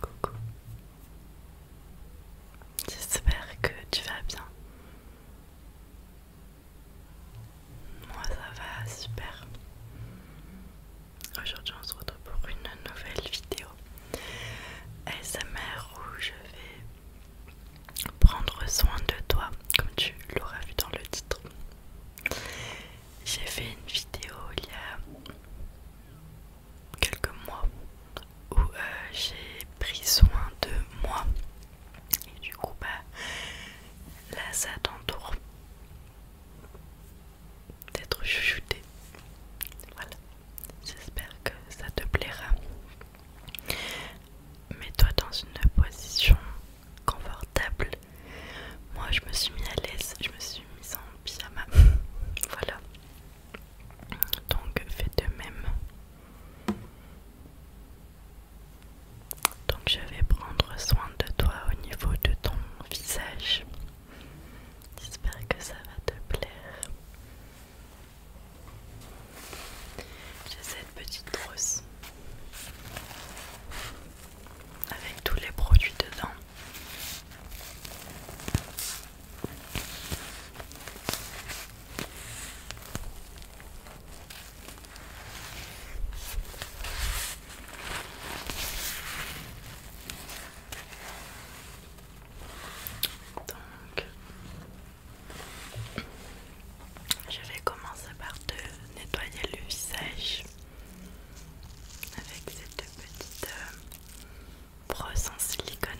Coucou. J'espère que tu vas bien. Moi ça va super. Aujourd'hui on se retrouve pour une nouvelle vidéo SMR où je vais prendre soin de toi comme tu l'auras vu dans le titre. J'ai fait une vidéo il y a quelques mois où euh, j'ai pris soin de moi et du coup bah là ça t'entoure d'être chuchoté voilà j'espère que ça te plaira mets-toi dans une position confortable moi je me suis mis à l'aise je me suis mise en pyjama. voilà. Donc fais de même. Donc je vais prendre soin de toi au niveau de ton visage. J'espère que ça va te plaire. J'ai cette petite brosse avec tous les produits dedans. Donc, je vais commencer par te nettoyer le visage avec cette petite euh, brosse en silicone.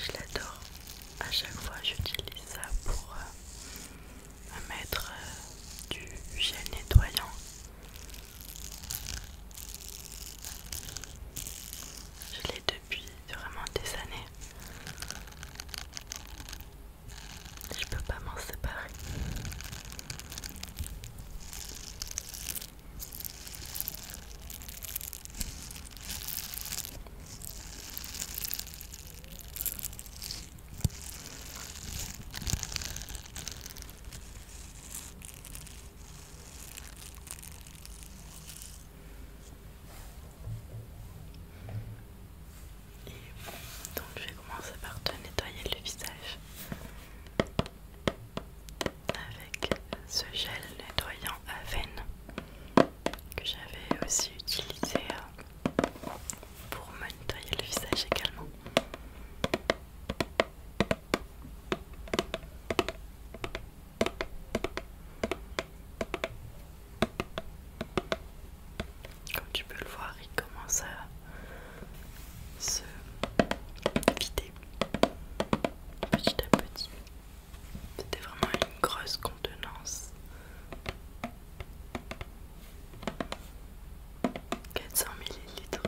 Je l'adore. À chaque fois, j'utilise ça pour euh, mettre euh, du gel nettoyant. Je l'ai depuis vraiment des années. Je peux pas m'en séparer. Et donc je vais commencer par te nettoyer le visage avec ce gel nettoyant à veine que j'avais aussi utilisé euh, pour me nettoyer le visage également. Comme tu peux le voir, il commence à se vider petit à petit. C'était vraiment une grosse contenance. 400 millilitres.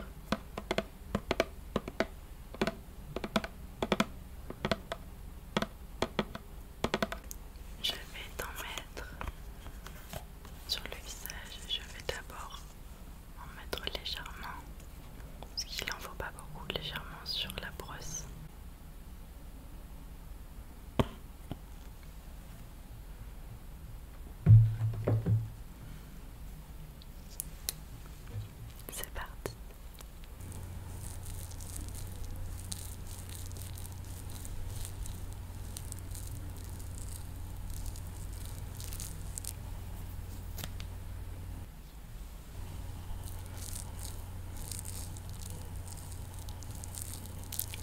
Je vais en mettre sur le visage. Je vais d'abord en mettre légèrement, parce qu'il n'en faut pas beaucoup, légèrement sur la brosse. C'est parti.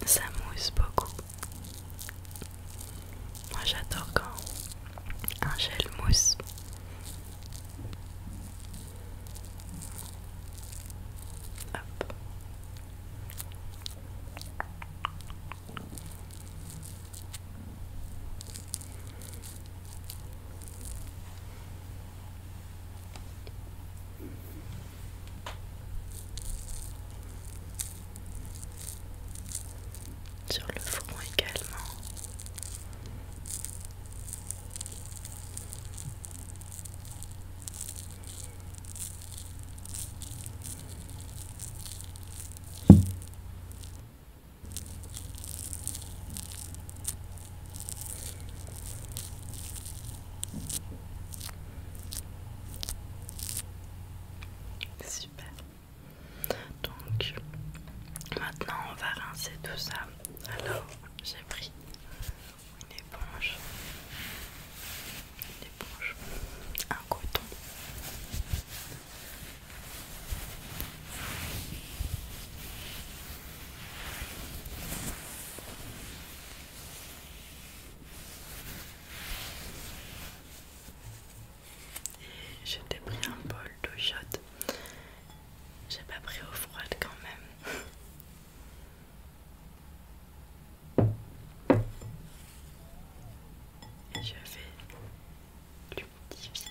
Ça mousse beaucoup. Moi j'adore quand un gel mousse. Sur le front également. Super. Donc maintenant on va rincer tout ça. Alors j'ai pris une éponge, une éponge, un coton. Et je pris un bol d'eau chaude j'ai pas pris au froid quand même. Et je vais l'humidifier.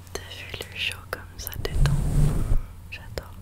T'as vu le chaud comme ça détend J'adore.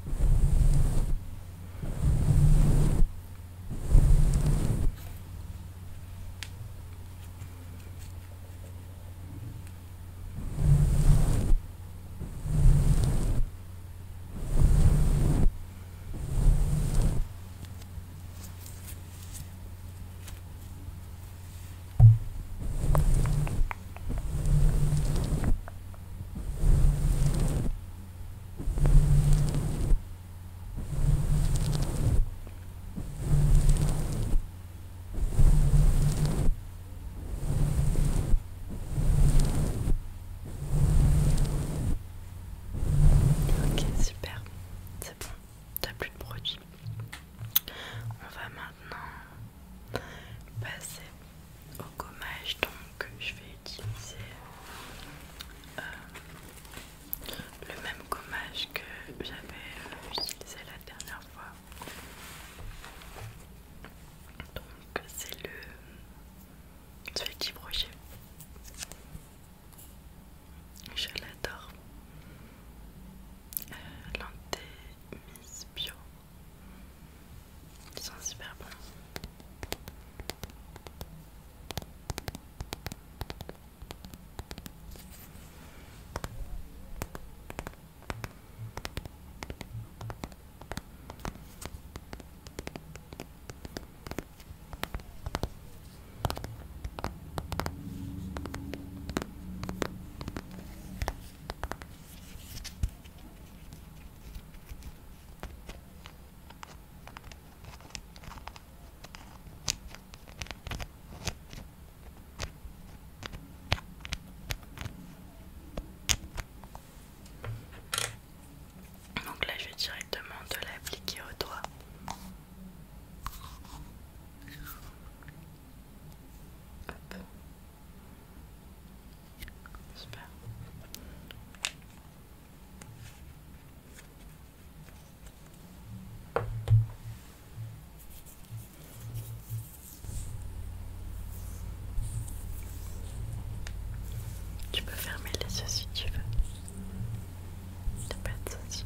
Ok, super, c'est bon, t'as plus de produits. On va maintenant passer au gommage. Donc, je vais utiliser euh, le même gommage que j'avais euh, utilisé la dernière fois. Donc, c'est le petit Brochet. Je l'adore. Euh, bio. Ils sont super bons. Donc là, je vais directement De l'appliquer au doigt. Tu peux fermer les yeux si tu veux. tu n'y pas de souci.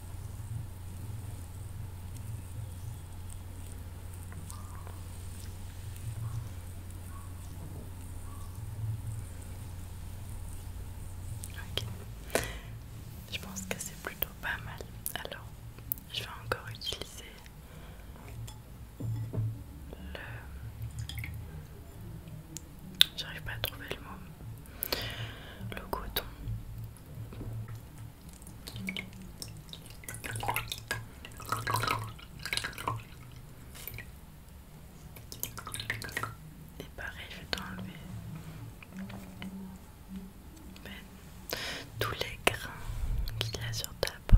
Ok, je pense que c'est plutôt pas mal. Alors, je vais encore utiliser le. J'arrive pas à trouver le mot. Le coton et pareil, je vais t'enlever tous les grains qu'il y a sur ta peau.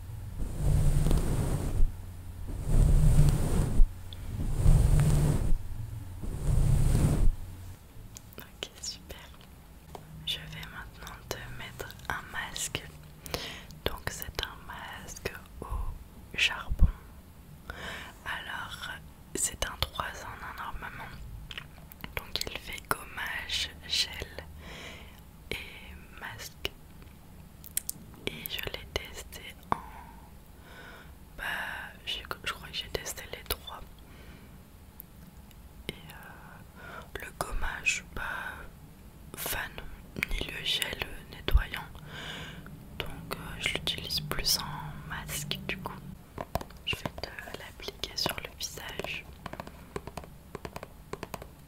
Ok, super. Je vais maintenant te mettre un masque. Donc c'est un masque au charbon. Alors c'est un 3 en un normalement. Donc il fait gommage, gel, et masque. Et je l'ai testé en. Bah, je, crois que j'ai testé les trois. Et euh, le gommage, pas bah, fan, ni le gel nettoyant. Donc, euh, je l'utilise plus en masque du coup. Je vais te l'appliquer sur le visage.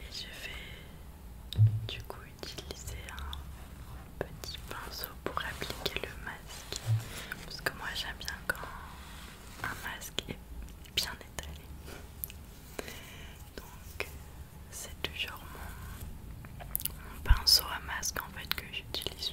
Et je vais du coup utiliser un petit pinceau pour appliquer le masque. Parce que moi j'aime bien quand un masque est bien étalé. Donc c'est toujours mon, pinceau à masque en fait que j'utilise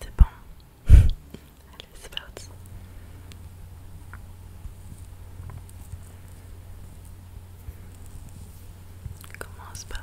C'est bon. Allez, c'est Commence par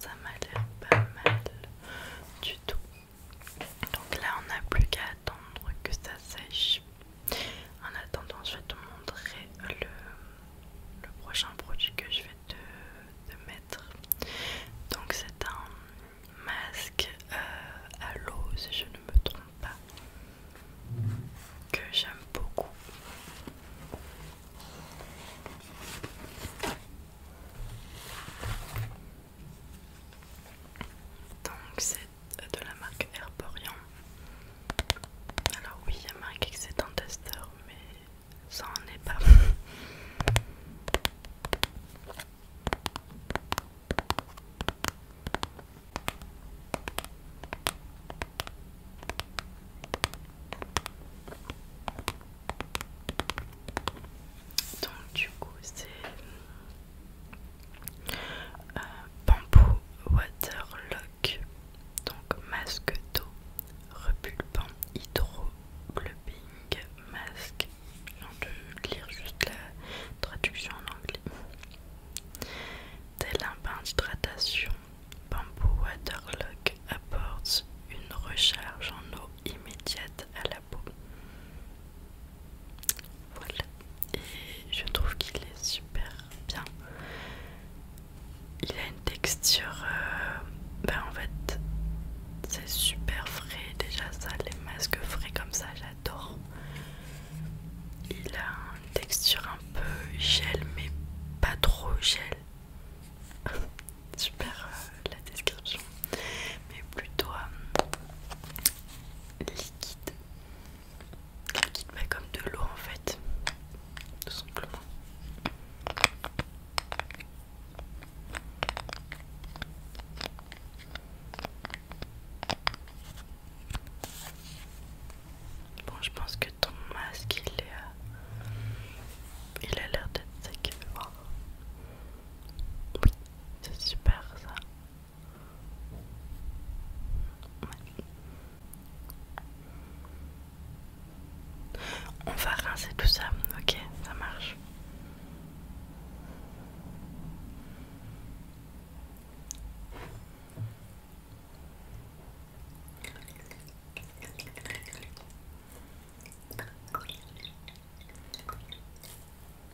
Ça m'a l'air pas mal du tout. Donc là, on n'a plus qu'à attendre que ça sèche. En attendant, je vais te montrer le, prochain produit que je vais te, mettre. Donc c'est un masque euh, à l'eau, si je ne me trompe pas, que j'aime beaucoup. Donc c'est de la marque Herborian. Alors oui, il y a marqué que c'est un testeur, mais ça en est pas. Donc du coup c'est euh, Bamboo waterlock, donc masque d'eau, repulpant, hydroglobing masque. Je vais lire juste la traduction en anglais. Tel un bain d'hydratation, Bamboo Waterlock apporte une recharge en eau immédiate à la peau. Voilà, et je trouve qu'il est super bien. Il a une texture, euh, ben en fait, c'est super frais déjà ça, les masques frais comme ça, j'adore. Il a une texture un peu gel, mais pas trop gel. super euh, la description, mais plutôt euh, liquide, liquide mais comme de l'eau en fait, tout simplement. Bon, je pense que ton masque il est. Euh, il a l'air d'être sec. Oui, c'est super ça. On va rincer tout ça, ok, ça marche.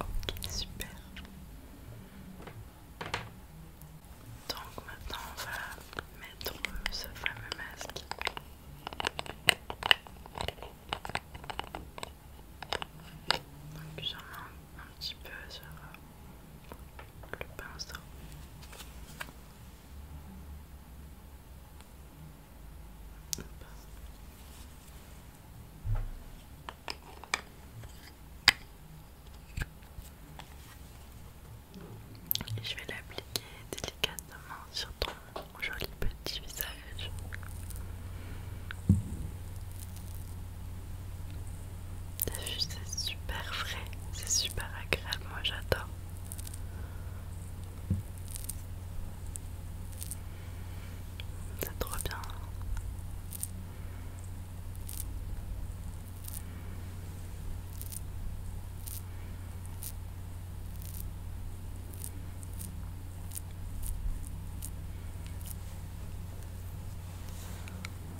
Ok, super. Donc maintenant on va mettre ce fameux masque. Donc j'en mets un petit peu sur euh, le pinceau. Et je vais l'appliquer délicatement sur ton joli petit visage. c'est super frais, c'est super agréable, moi j'adore. C'est trop bien.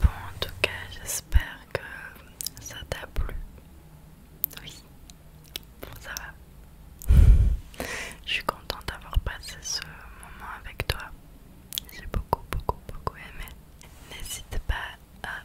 Bon, en tout cas, j'espère que ça t'a plu. Oui, ça va. Je suis contente d'avoir passé ce moment avec toi. J'ai beaucoup, beaucoup, beaucoup aimé. N'hésite pas à